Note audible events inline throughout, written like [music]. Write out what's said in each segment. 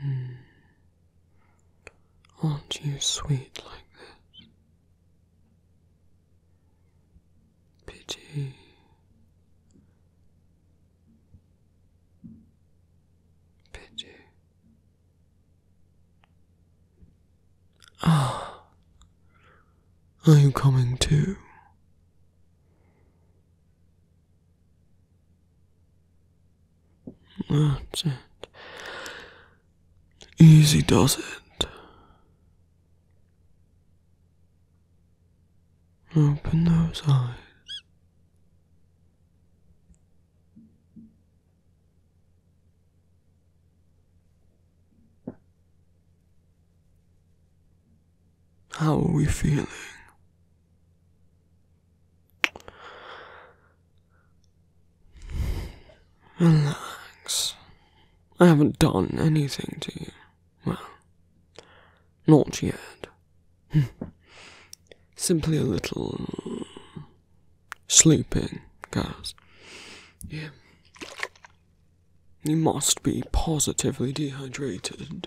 Hmm. Aren't you sweet like this? Pity. Pity. Ah, are you coming too? That's it. Easy does it. Open those eyes. How are we feeling? Relax. I haven't done anything to you. Well, not yet. [laughs] Simply a little sleeping, guys. Yeah. You must be positively dehydrated.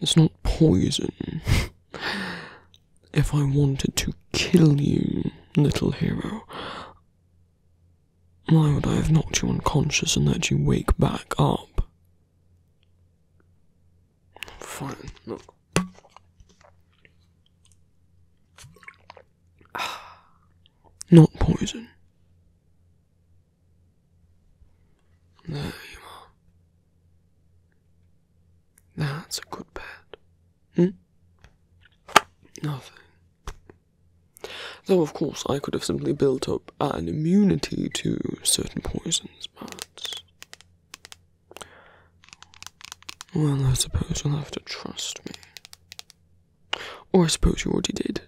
It's not poison. if I wanted to kill you, little hero, why would I have knocked you unconscious and let you wake back up? Fine, look. [sighs] Not poison. There you are. That's a good pet. Hmm? Nothing. Though, of course, I could have simply built up an immunity to certain poisons, but. Well, I suppose you'll have to trust me. Or I suppose you already did.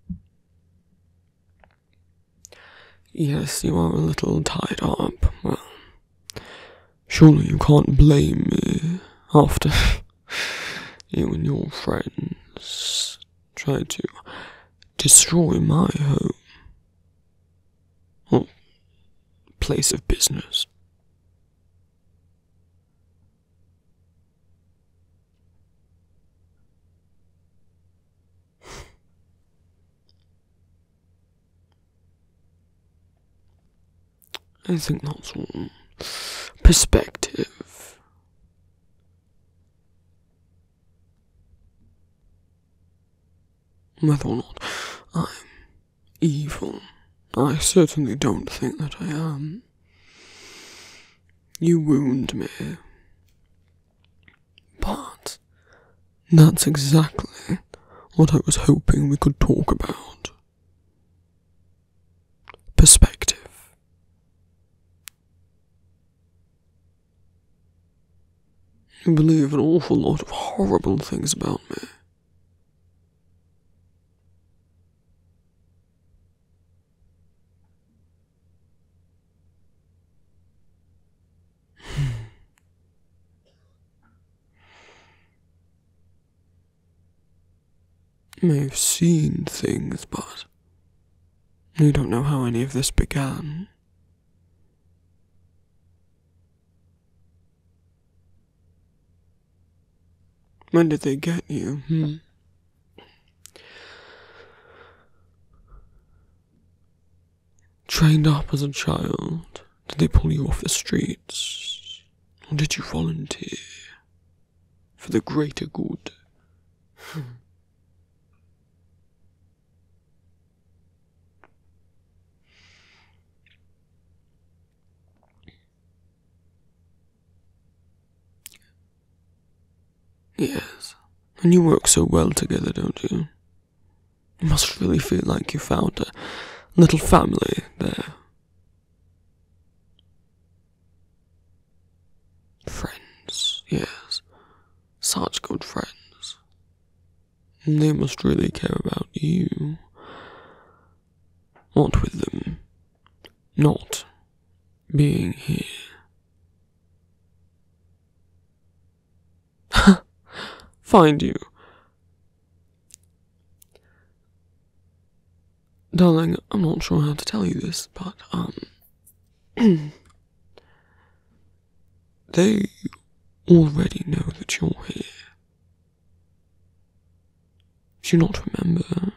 [laughs] yes, you are a little tied up. Well, surely you can't blame me after [laughs] you and your friends tried to destroy my home. Well, place of business. I think that's one Perspective. Whether or not I'm evil, I certainly don't think that I am. You wound me. But that's exactly what I was hoping we could talk about. Perspective. You believe an awful lot of horrible things about me. [sighs] may have seen things, but we don't know how any of this began. When did they get you? Hmm? Trained up as a child, did they pull you off the streets? Or did you volunteer for the greater good? Hmm. Yes, and you work so well together, don't you? You must really feel like you found a little family there. Friends, yes, such good friends. They must really care about you. What with them not being here. [laughs] Find you. Darling, I'm not sure how to tell you this, but, um, they already know that you're here. Do you not remember?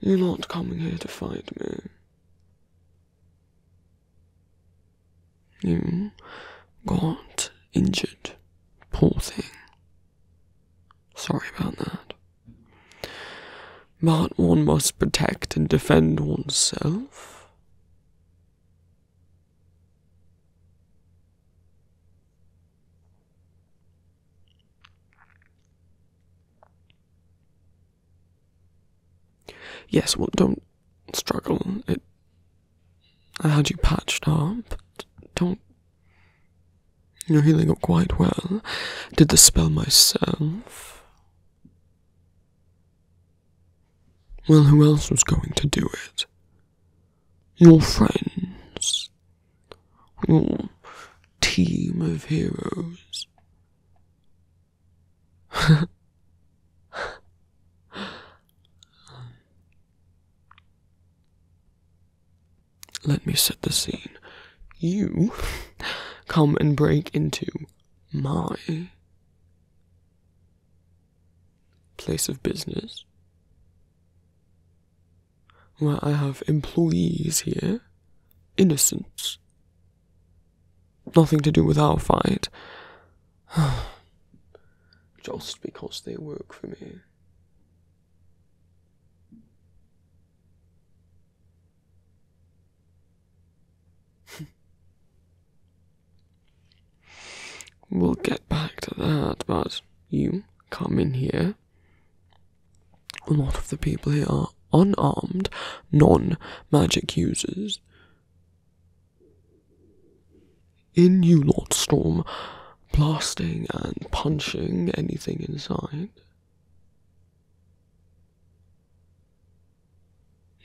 You're not coming here to fight me. You got injured. Poor thing. Sorry about that. But one must protect and defend oneself. Yes, well, don't struggle. It, I had you patched up. Don't. You're healing up quite well. Did the spell myself. Well, who else was going to do it? Your friends. Your team of heroes. [laughs] Let me set the scene you come and break into my place of business where I have employees here, innocent. Nothing to do with our fight. [sighs] Just because they work for me. [laughs] we'll get back to that, but you come in here. A lot of the people here are unarmed, non magic users. In you lot storm, blasting and punching anything inside.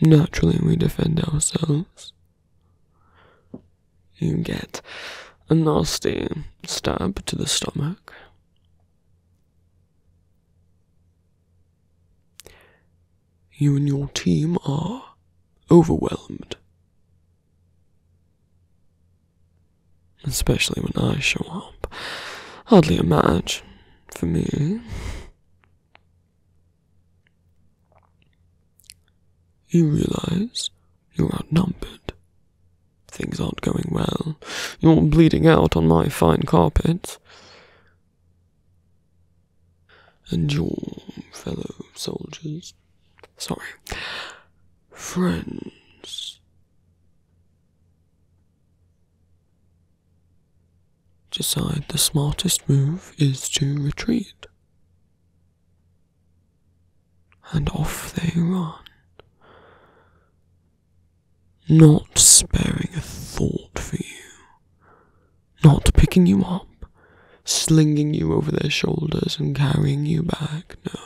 Naturally, we defend ourselves. You get a nasty stab to the stomach. You and your team are overwhelmed especially when I show up. Hardly a match for me. You realize you're outnumbered. Things aren't going well. You're bleeding out on my fine carpet. And your fellow soldiers, sorry, friends, decide the smartest move is to retreat. And off they run, not sparing a thought for you, not picking you up, slinging you over their shoulders, and carrying you back. No.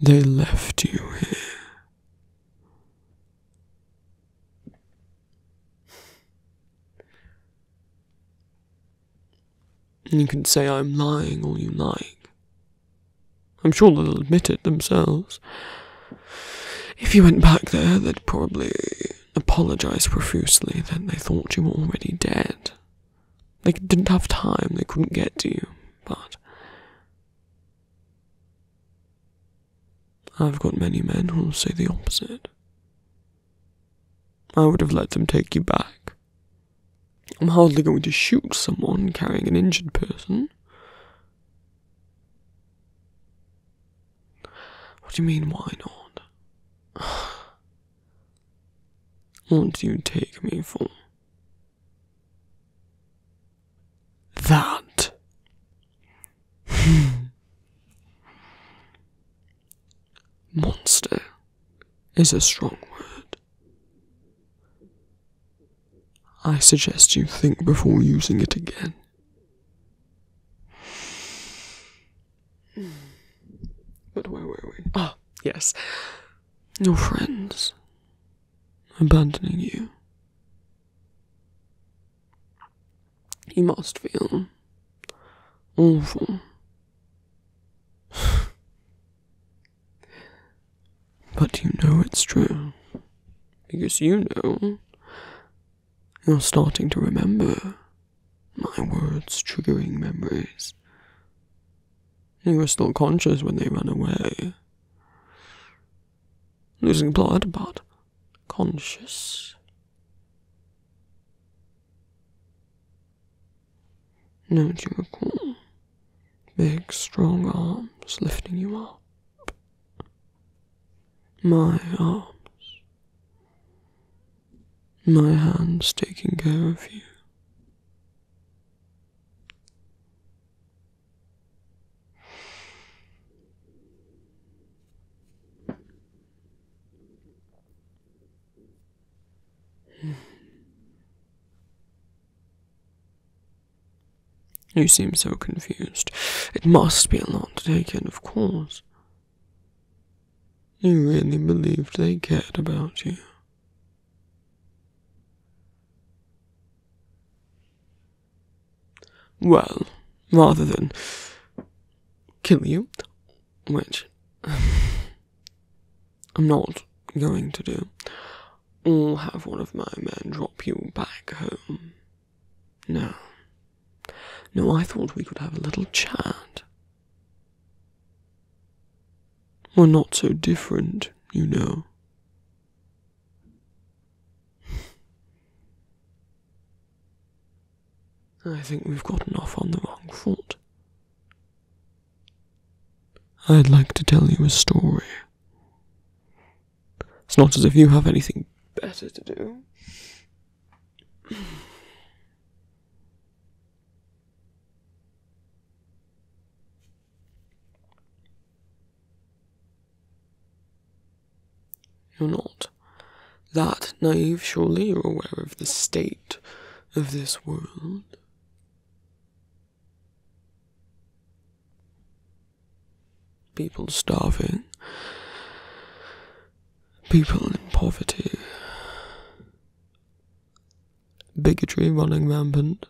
They left you here. You can say I'm lying all you like. I'm sure they'll admit it themselves. If you went back there, they'd probably apologize profusely that they thought you were already dead they didn't have time, they couldn't get to you, but. I've got many men who'll say the opposite. I would have let them take you back. I'm hardly going to shoot someone carrying an injured person. What do you mean, why not? [sighs] What do you take me for? that. Hmm. Monster is a strong word. I suggest you think before using it again. Hmm. But where were we? Ah, yes. Your friends abandoning you. You must feel awful. [sighs] but you know it's true. Because you know you're starting to remember my words triggering memories you were still conscious when they ran away. Losing blood, but conscious. No, do you recall? Big, strong arms lifting you up. My arms. My hands taking care of you. [sighs] You seem so confused. It must be a lot to take in, of course. You really believed they cared about you. Well, rather than kill you, which [sighs] I'm not going to do, I'll have one of my men drop you back home. No. No, I thought we could have a little chat we're not so different, you know. I think we've gotten off on the wrong foot. I'd like to tell you a story. It's not as if you have anything better to do. You're not. That naive, surely you're aware of the state of this world. People starving, people in poverty, bigotry running rampant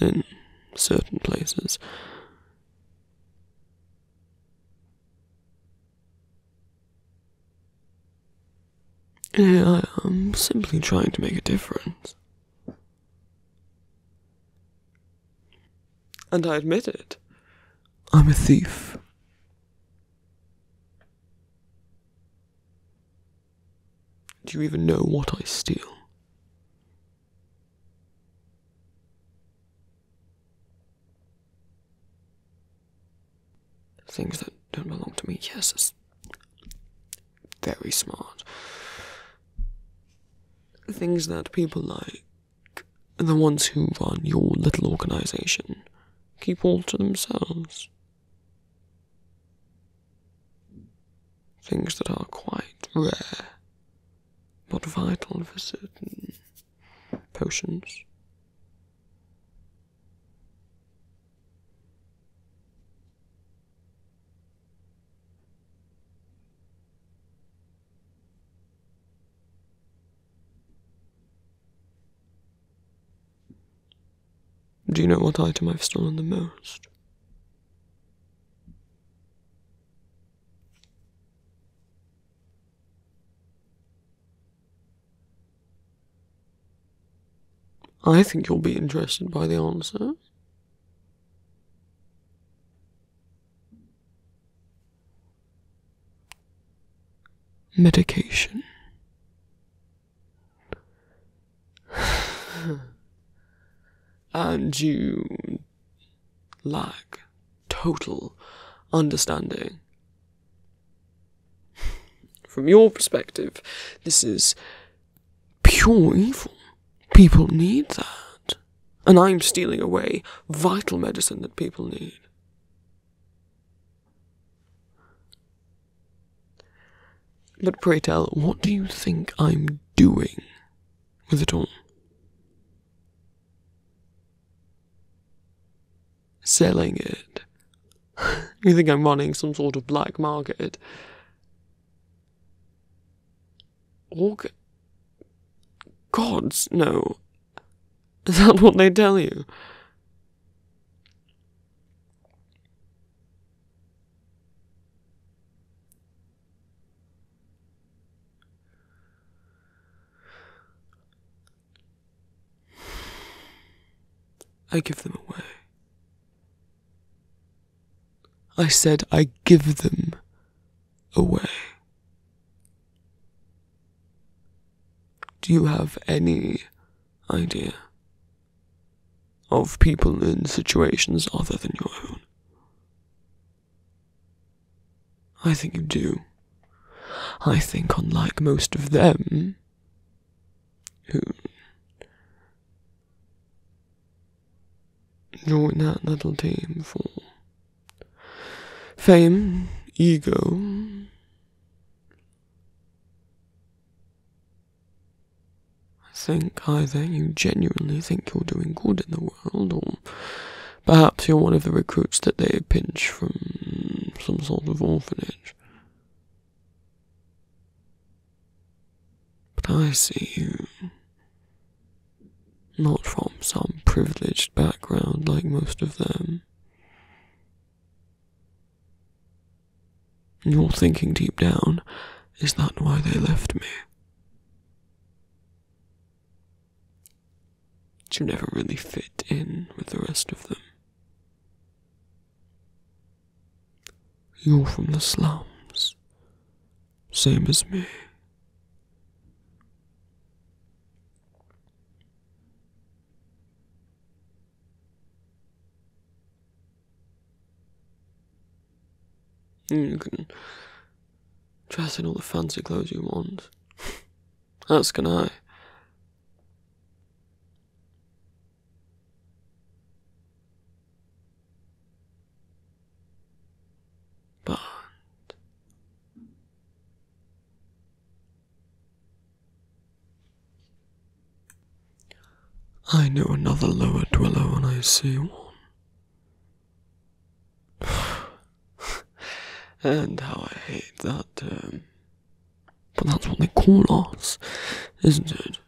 in certain places. I am simply trying to make a difference. And I admit it. I'm a thief. Do you even know what I steal? Things that don't belong to me, yes, it's very smart. Things that people like, the ones who run your little organization, keep all to themselves. Things that are quite rare, but vital for certain potions. Do you know what item I've stolen the most? I think you'll be interested by the answer. Medication. [sighs] and you lack total understanding. [sighs] From your perspective, this is pure evil. People need that. And I'm stealing away vital medicine that people need. But pray tell, what do you think I'm doing with it all? Selling it. [laughs] you think I'm running some sort of black market? Org. Gods, no. Is that what they tell you? I give them away. I said I give them away. Do you have any idea of people in situations other than your own? I think you do. I think, unlike most of them, who join that little team for fame, ego, I think either you genuinely think you're doing good in the world, or perhaps you're one of the recruits that they pinch from some sort of orphanage. But I see you not from some privileged background like most of them. And you're thinking deep down, is that why they left me? You never really fit in with the rest of them. You're from the slums, same as me. You can dress in all the fancy clothes you want. As can I. But I know another lower dweller when I see one. [sighs] and how I hate that term. Um, but that's what they call us, isn't it?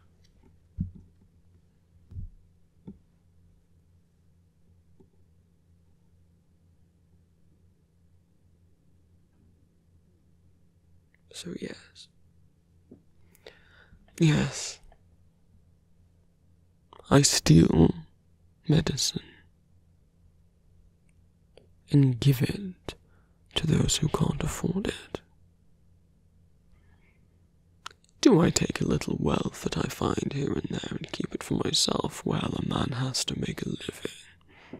So, yes. Yes. I steal medicine and give it to those who can't afford it. Do I take a little wealth that I find here and there and keep it for myself? while a man has to make a living.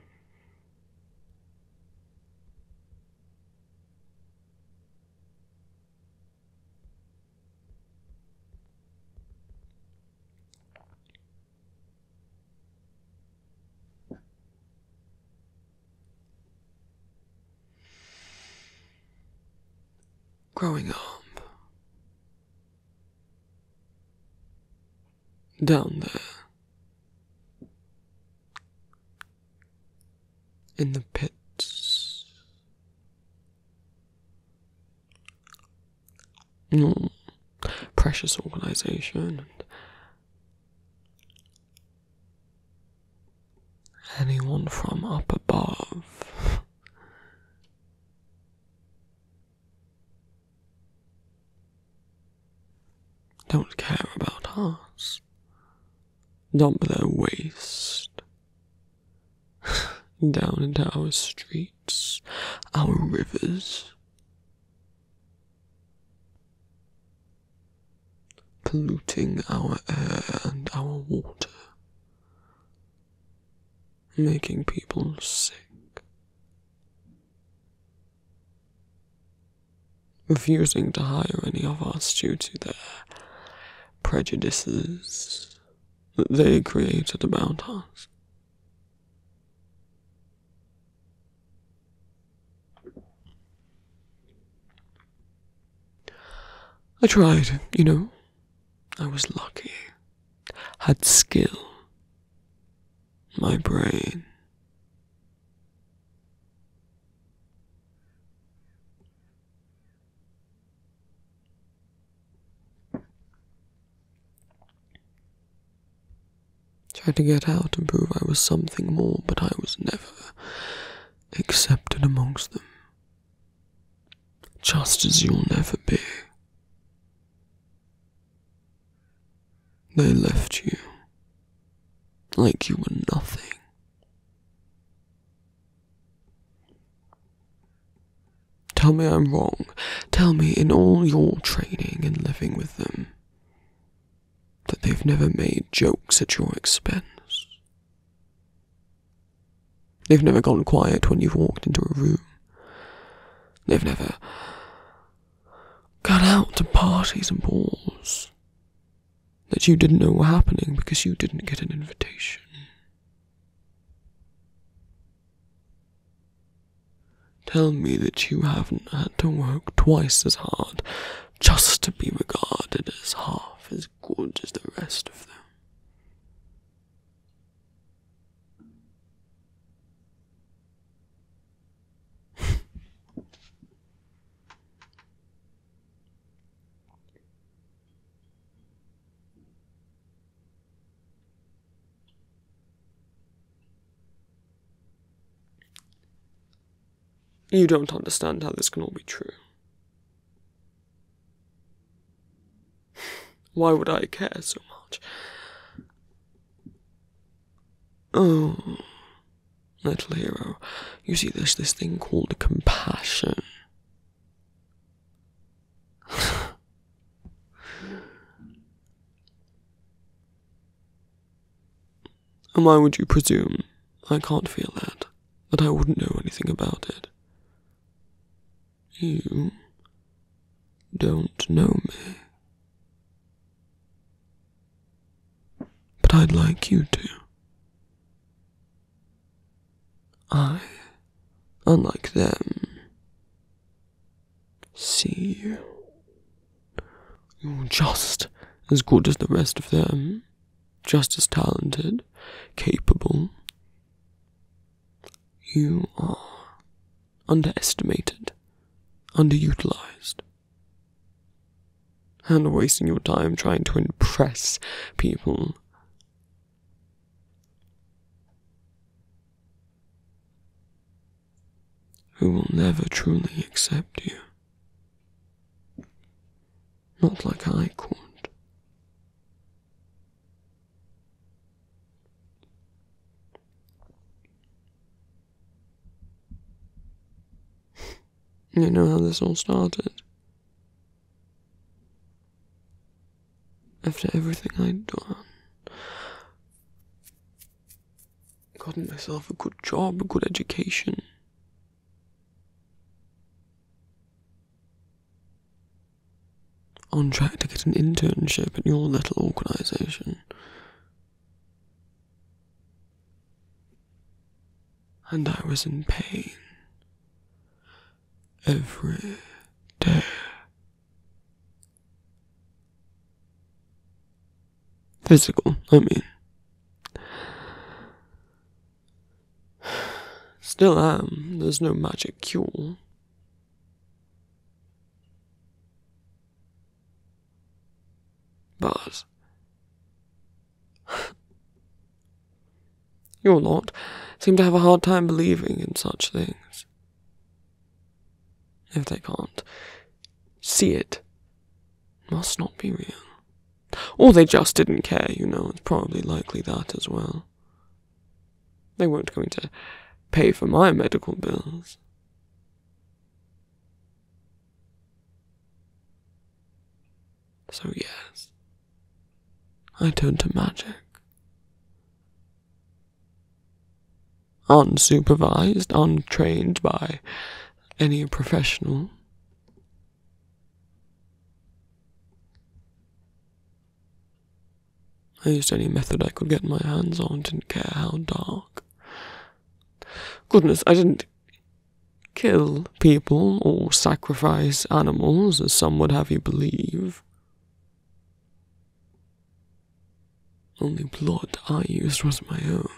Growing up, down there in the pits. Mm. Precious organization anyone from up above don't care about us. Dump their waste [laughs] down into our streets, our rivers. Polluting our air and our water, making people sick refusing to hire any of us due to the prejudices that they created about us. I tried, you know. I was lucky. Had skill. My brain Tried to get out and prove I was something more, but I was never accepted amongst them. Just as you'll never be. They left you like you were nothing. Tell me I'm wrong. Tell me in all your training and living with them that they've never made jokes at your expense. They've never gone quiet when you've walked into a room. They've never got out to parties and balls that you didn't know were happening because you didn't get an invitation. Tell me that you haven't had to work twice as hard just to be regarded as half as good as the rest of them you don't understand how this can all be true. Why would I care so much? Oh, little hero, you see, there's this thing called compassion. [laughs] and why would you presume I can't feel that? That I wouldn't know anything about it? You don't know me. But I'd like you to. I, unlike them, see you. You're just as good as the rest of them, just as talented, capable. You are underestimated, underutilized. And wasting your time trying to impress people. Who will never truly accept you. Not like I could you know how this all started. After everything I'd done, gotten myself a good job, a good education. On track to get an internship at your little organization. And I was in pain every day. Physical, I mean. Still am, there's no magic cure. But [laughs] Your lot seem to have a hard time believing in such things. If they can't see it must not be real. Or they just didn't care, you know, it's probably likely that as well. They weren't going to pay for my medical bills. So, yes, I turned to magic. Unsupervised, untrained by any professional. I used any method I could get my hands on, didn't care how dark. Goodness, I didn't kill people or sacrifice animals, as some would have you believe. Only blood I used was my own.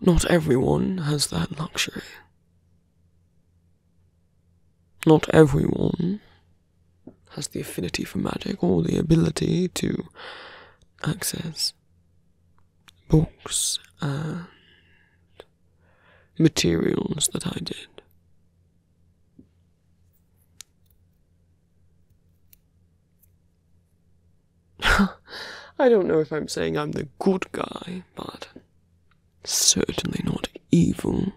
Not everyone has that luxury. Not everyone has the affinity for magic or the ability to access books and materials that I did. [laughs] I don't know if I'm saying I'm the good guy, but certainly not evil.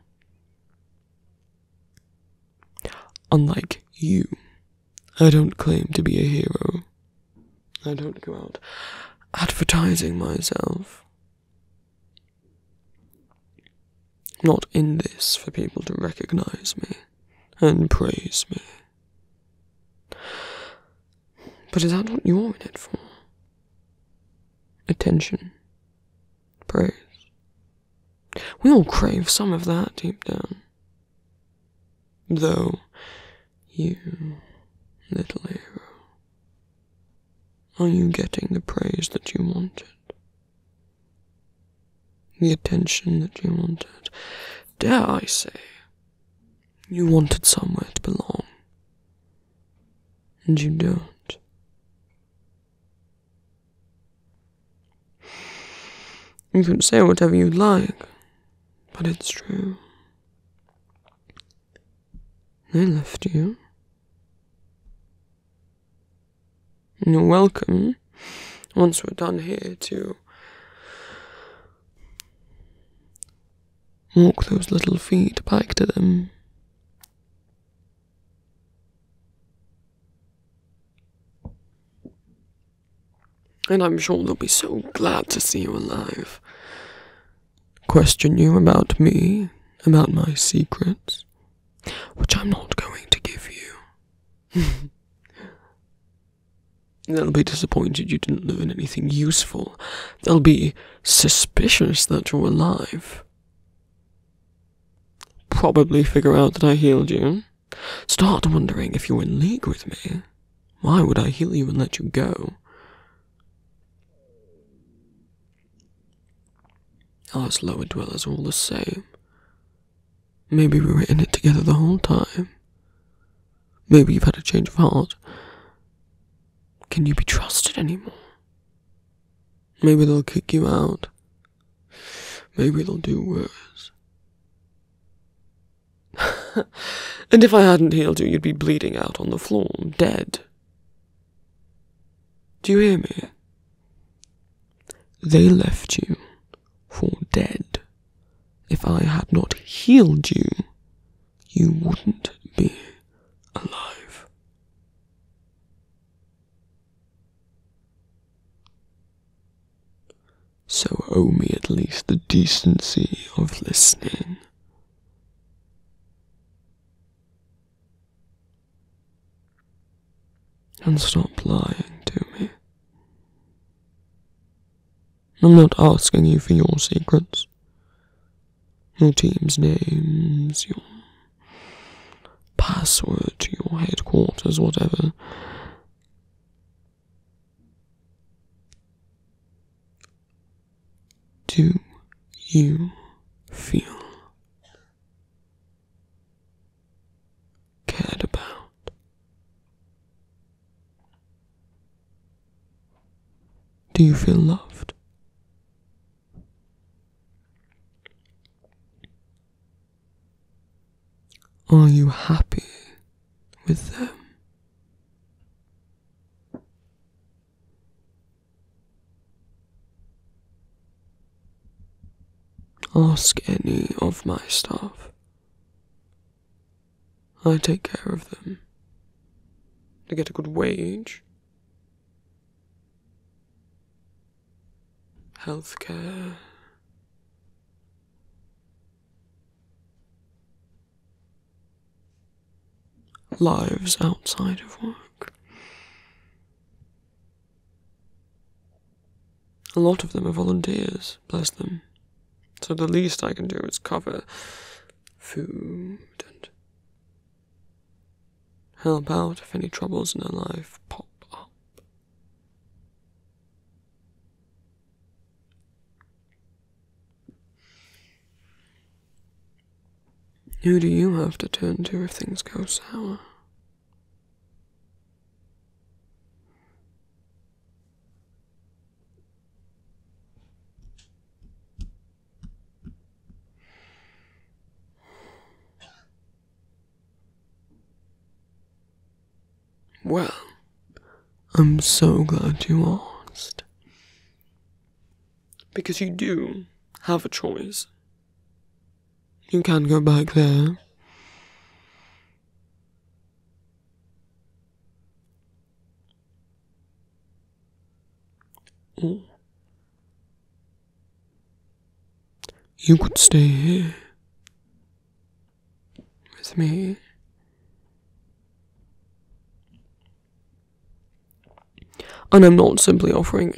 Unlike you, I don't claim to be a hero. I don't go out advertising myself. not in this for people to recognize me and praise me. But is that what you're in it for? Attention. Praise. We all crave some of that deep down. Though, you, little hero, are you getting the praise that you wanted? The attention that you wanted? Dare I say, you wanted somewhere to belong, and you don't. You can say whatever you like, but it's true. They left you. And you're welcome, once we're done here, too. Walk those little feet back to them. And I'm sure they'll be so glad to see you alive. Question you about me, about my secrets, which I'm not going to give you. [laughs] They'll be disappointed you didn't learn anything useful. They'll be suspicious that you're alive. Probably figure out that I healed you. Start wondering if you're in league with me. Why would I heal you and let you go? Us lower dwellers all the same. Maybe we were in it together the whole time. Maybe you've had a change of heart. Can you be trusted anymore? Maybe they'll kick you out. Maybe they'll do worse. [laughs] and if I hadn't healed you, you'd be bleeding out on the floor, dead. Do you hear me? They left you for dead. If I had not healed you, you wouldn't be alive. So owe me at least the decency of listening. And stop lying to me. I'm not asking you for your secrets. Your team's names, your password to your headquarters, whatever. Do you feel cared about? Do you feel loved? Are you happy with them? Ask any of my staff I take care of them. To get a good wage, healthcare. Lives outside of work. A lot of them are volunteers, bless them. So the least I can do is cover food and help out if any troubles in her life pop up. Who do you have to turn to if things go sour? Well, I'm so glad you asked. Because you do have a choice. You can go back there. Oh. You could stay here with me. And I'm not simply offering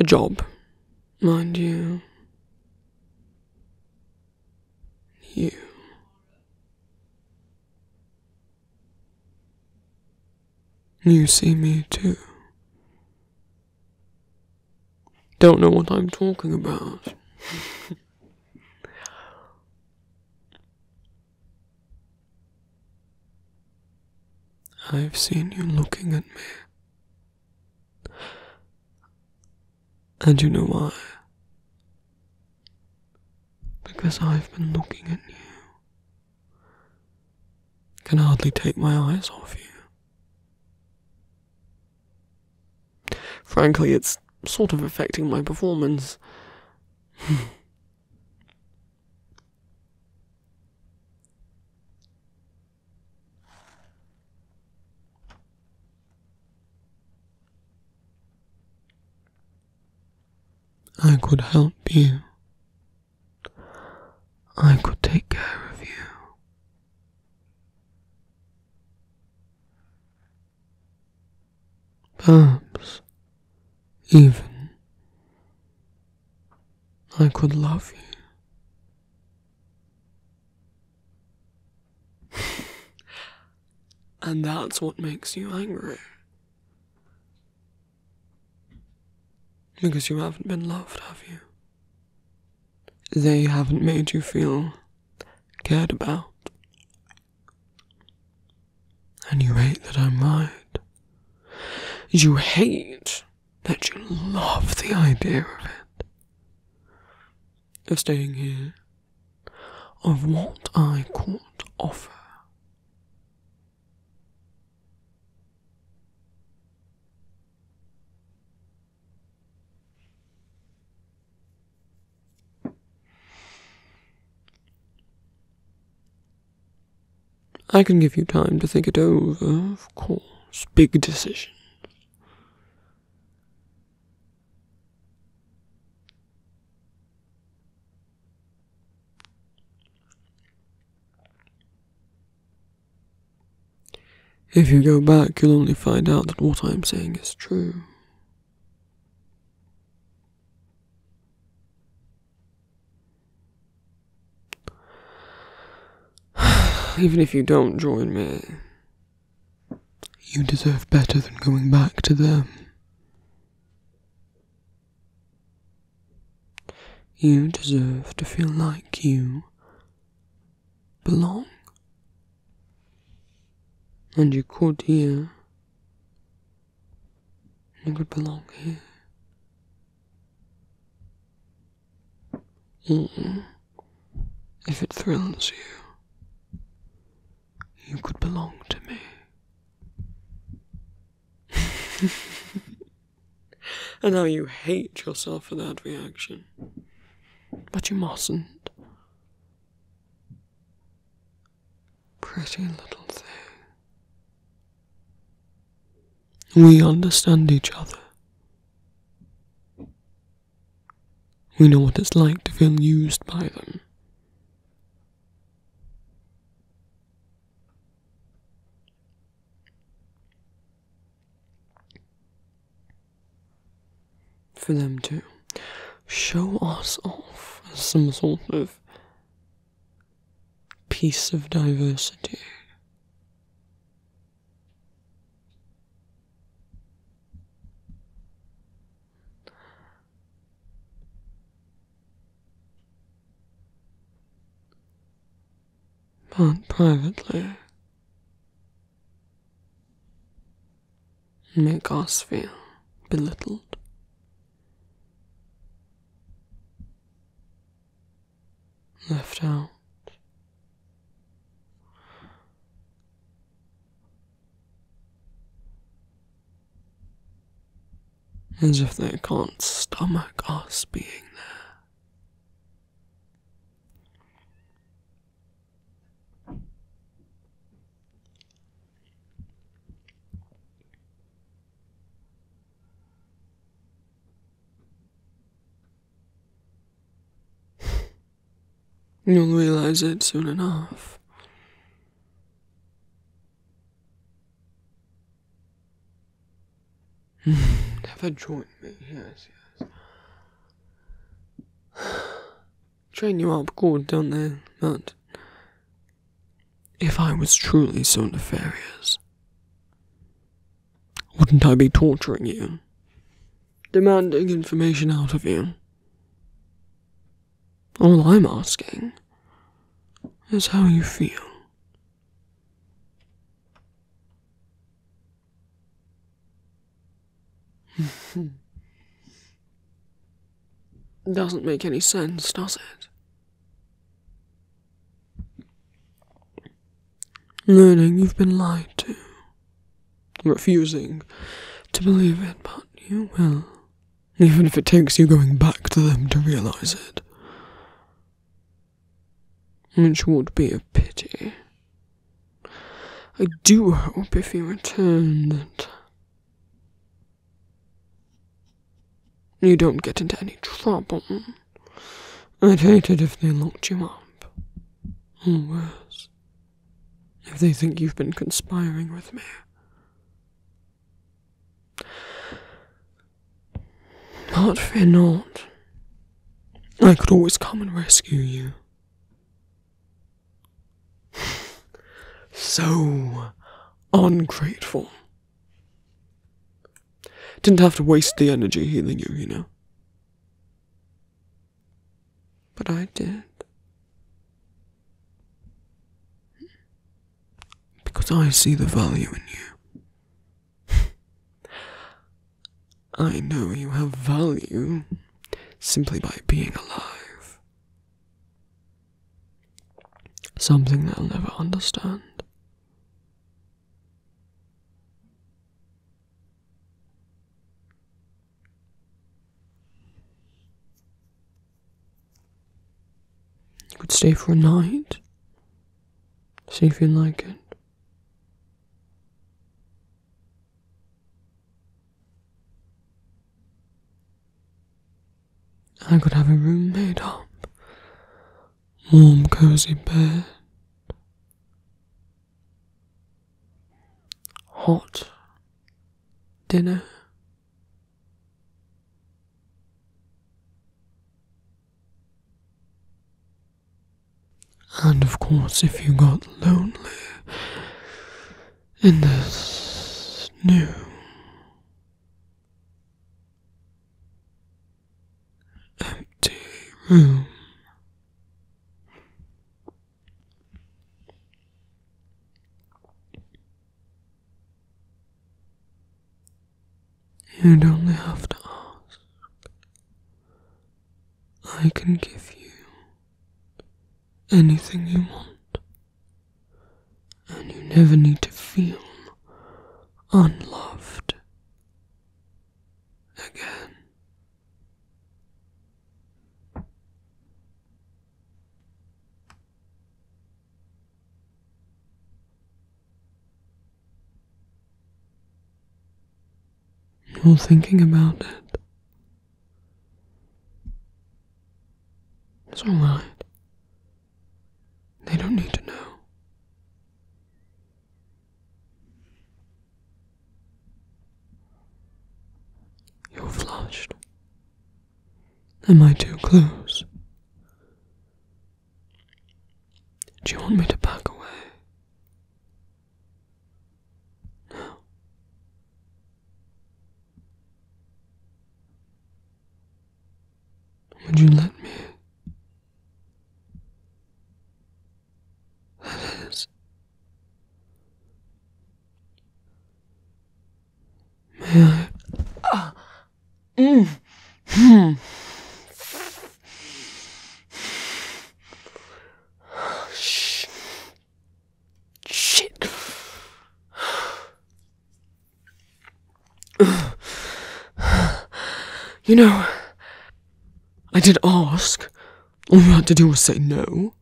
a job, mind you. You. You see me too. Don't know what I'm talking about. [laughs] I've seen you looking at me. And you know why? Because I've been looking at you. Can hardly take my eyes off you. Frankly, it's sort of affecting my performance. I could help you. I could take care of you. Perhaps even I could love you and that's what makes you angry. Because you haven't been loved, have you? They haven't made you feel cared about. And you hate that I'm right. You hate that you love the idea of it. Of staying here of what I could offer. I can give you time to think it over, of course. Big decisions. If you go back, you'll only find out that what I'm saying is true. [sighs] Even if you don't join me, you deserve better than going back to them. You deserve to feel like you belong. And you could here. You could belong here. if it thrills you, you could belong to me. [laughs] and how you hate yourself for that reaction. But you mustn't. Pretty little thing. We understand each other. We know what it's like to feel used by them. For them to show us off as some sort of piece of diversity. But privately, make us feel belittled. Left out. As if they can't stomach us being there. You'll realize it soon enough. [sighs] Never join me. Yes, yes. [sighs] Train you up good, don't they? But if I was truly so nefarious, wouldn't I be torturing you? demanding information out of you. All I'm asking is how you feel. [laughs] Doesn't make any sense, does it? Learning you've been lied to refusing to believe it, but you will, even if it takes you going back to them to realize it. Which would be a pity. I do hope if you return that you don't get into any trouble. I'd hate it if they locked you up. Or worse if they think you've been conspiring with me. But fear not. I could always come and rescue you. So ungrateful. Didn't have to waste the energy healing you, you know. But I did. Because I see the value in you. [laughs] I know you have value simply by being alive. Something they'll never understand. You could stay for a night. See if you like it. I could have a room made up. Warm, cozy bed hot dinner. And of course, if you got lonely in this new empty room, you don't have to ask. I can give you anything you want, and you never need to feel unloved again. Well, thinking about it, it's alright. They don't need to know. You're flushed. Am I too close? Do you want me to back away? No. Would you let me? That is [sighs] May I? Mm. Hmm. Shh. Shit. You know, I did ask. All you had to do was say no.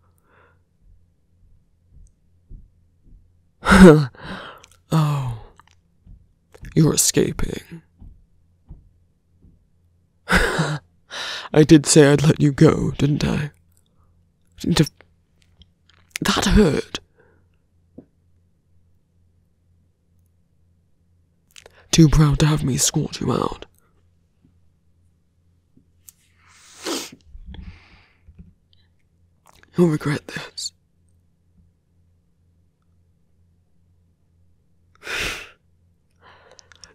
[laughs] oh, you're escaping. [laughs] I did say I'd let you go, didn't I? Didn't have... That hurt. Too proud to have me squat you out. You'll regret this.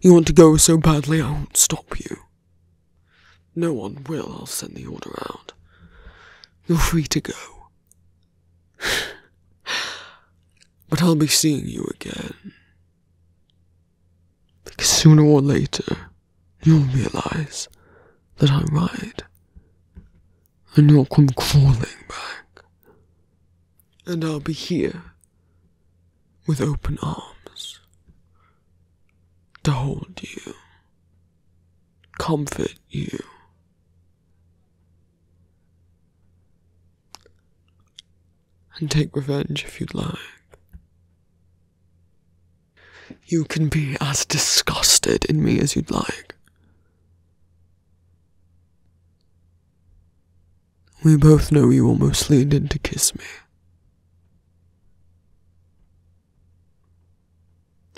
You want to go so badly, I won't stop you. No one will, I'll send the order out. You're free to go. [sighs] but I'll be seeing you again sooner or later, you'll realize that I'm right. And you'll come crawling back. And I'll be here with open arms to hold you, comfort you and take revenge if you'd like. You can be as disgusted in me as you'd like. We both know you almost leaned in to kiss me.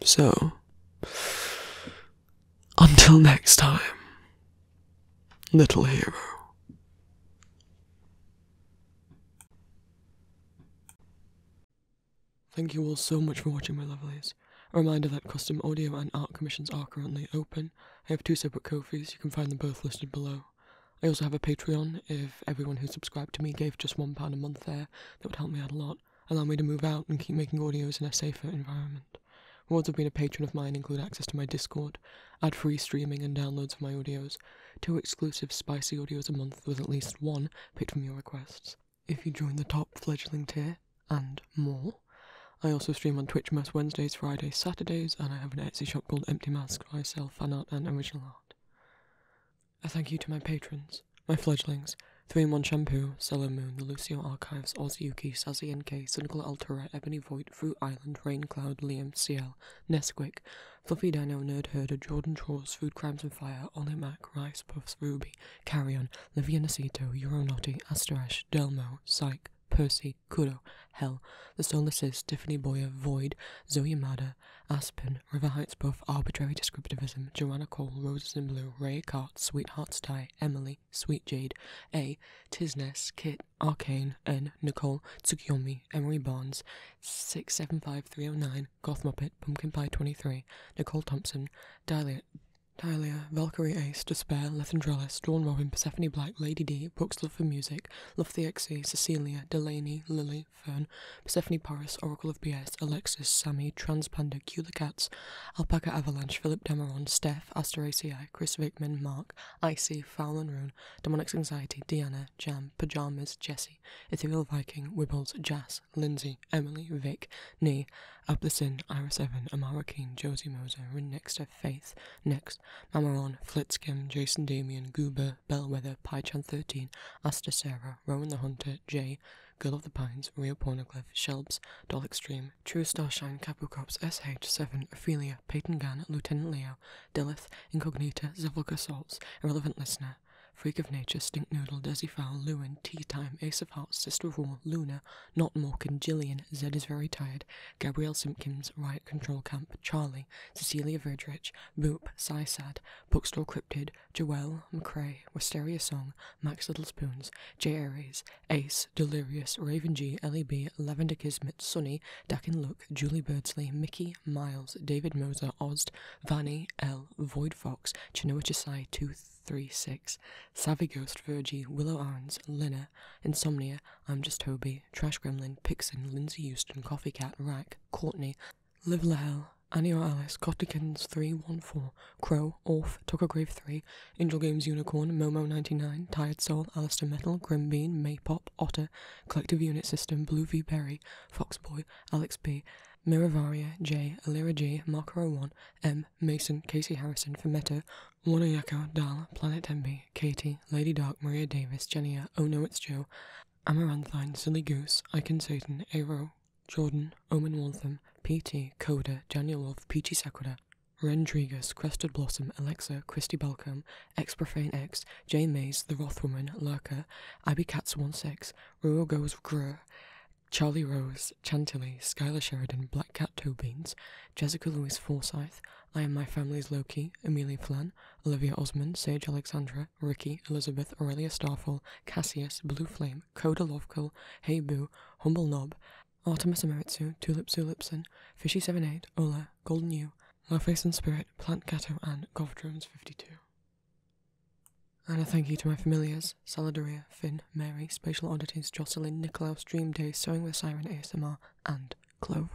So, until next time, little hero. Thank you all so much for watching my lovelies. A reminder that custom audio and art commissions are currently open. I have two separate Kofis, you can find them both listed below. I also have a Patreon, if everyone who subscribed to me gave just £1 a month there, that would help me out a lot, allow me to move out and keep making audios in a safer environment. Rewards of being a patron of mine include access to my Discord, add free streaming and downloads for my audios, two exclusive spicy audios a month with at least one picked from your requests. If you join the top fledgling tier, and more. I also stream on Twitch most Wednesdays, Fridays, Saturdays, and I have an Etsy shop called Empty Mask where I sell fan art and original art. A thank you to my patrons, my fledglings, 3-in-1 Shampoo, Cello Moon, The Lucio Archives, Ozzyuki, Sazzy NK, Cynical Altura, Ebony Void, Fruit Island, Raincloud, Liam, CL, Nesquik, Fluffy Dino, Nerd Herder, Jordan Traws, Food Crimes and Fire, Ollie Mac, Rice Puffs, Ruby, Carrion, Livia Nasito, Euronauty, Asterash, Delmo, Psyche, Percy, Kudo, Hell, The Solacist, Tiffany Boyer, Void, Zoe Mada, Aspen, River Heights Both, Arbitrary Descriptivism, Joanna Cole, Roses in Blue, Ray Cart, Sweetheart's Tie, Emily, Sweet Jade, A, Tisness, Kit, Arcane, N, Nicole, Tsukiyomi, Emery Barnes, 675309, Goth Muppet, Pumpkin Pie 23, Nicole Thompson, Dahlia, Dahlia, Valkyrie Ace, Despair, Lethandralis, Dawn Robin, Persephone Black, Lady D, Books Love for Music, Love the XE, Cecilia, Delaney, Lily, Fern, Persephone Paris, Oracle of BS, Alexis, Sammy, Transponder Q the Cats, Alpaca Avalanche, Philip Demeron Steph, Aster Chris Vickman, Mark, Icy, Foul and ruin, Demonics Anxiety, Deanna, Jam, Pajamas, Jessie, Ethereal Viking, Wibbles, Jas, Lindsay, Emily, Vic, Nee, Ablesin, Iris Evan, Amara Keen, Josie Moser, Rin Nixter, Faith, Next, Mamaron, Flitskim, Jason Damian, Goober, Bellwether, PyChan13, Asta Sarah, Rowan the Hunter, Jay, Girl of the Pines, Rio Pornoglyph, Shelbs, Doll Extreme, True Starshine, Capu Cops, SH7, Ophelia, Peyton Gun, Lieutenant Leo, Dilith Incognita, Zivlga Salts, Irrelevant Listener, Freak of Nature, Stink Noodle, Desi Fowl, Lewin, Tea Time, Ace of Hearts, Sister of War, Luna, Not Morgan, Jillian, Zed is Very Tired, Gabrielle Simpkins, Riot Control Camp, Charlie, Cecilia Verdrich, Boop, Sysad, Bookstore Cryptid, Joelle, McCrae, Wisteria Song, Max Littlespoons Spoons, J. Aries, Ace, Delirious, Raven G L E B Ellie Lavender Kismet, Sunny, Dakin Low, Julie Birdsley, Mickey, Miles, David Moser, Oz, Vanny, L, Void Fox, Chinoa 236, Savvy Ghost, Virgie, Willow Arns, Lina, Insomnia, I'm Just Toby, Trash Gremlin, Pixen, Lindsay Houston, Coffee Cat, Rack, Courtney, Live Lahell, Annie or Alice, Cottikins 314, Crow, Orf, Tucker Grave 3, Angel Games Unicorn, Momo 99, Tired Soul, Alister Metal, Grim Bean, Maypop, Otter, Collective Unit System, Blue v. Berry, Foxboy, Alex B., Miravaria, J, Alira G, Marker01, M, Mason, Casey Harrison, Fumetto, Wanayako, Dal, Planet MB, Katie, Lady Dark, Maria Davis, Jenia, Oh No It's Joe, Amaranthine, Silly Goose, Icon Satan, Aero, Jordan, Omen Waltham, PT, Coda, Daniel Wolf, Peachy Sakura, Rendrigus, Crested Blossom, Alexa, Christy Balcom, X X, Jane Mays, The Rothwoman, Lurker, Abby Katz 16, Rural Goes Grue, Charlie Rose, Chantilly, Skylar Sheridan, Black Cat Toe Beans, Jessica Louise Forsyth, I Am My Family's Loki, Amelia Flan, Olivia Osman, Sage Alexandra, Ricky, Elizabeth, Aurelia Starfall, Cassius, Blue Flame, Coda Lovkill, Hey Boo, Humble Knob, Artemis Emeritsu, Tulip Zulipson, fishy Seven Eight, Ola, Golden U, my face and Spirit, Plant Ghetto, and Golf Drums 52. And a thank you to my familiars, Saladeria, Finn, Mary, Spatial Oddities, Jocelyn, Nicolaus, Dream Day, Sewing with Siren ASMR, and Clover.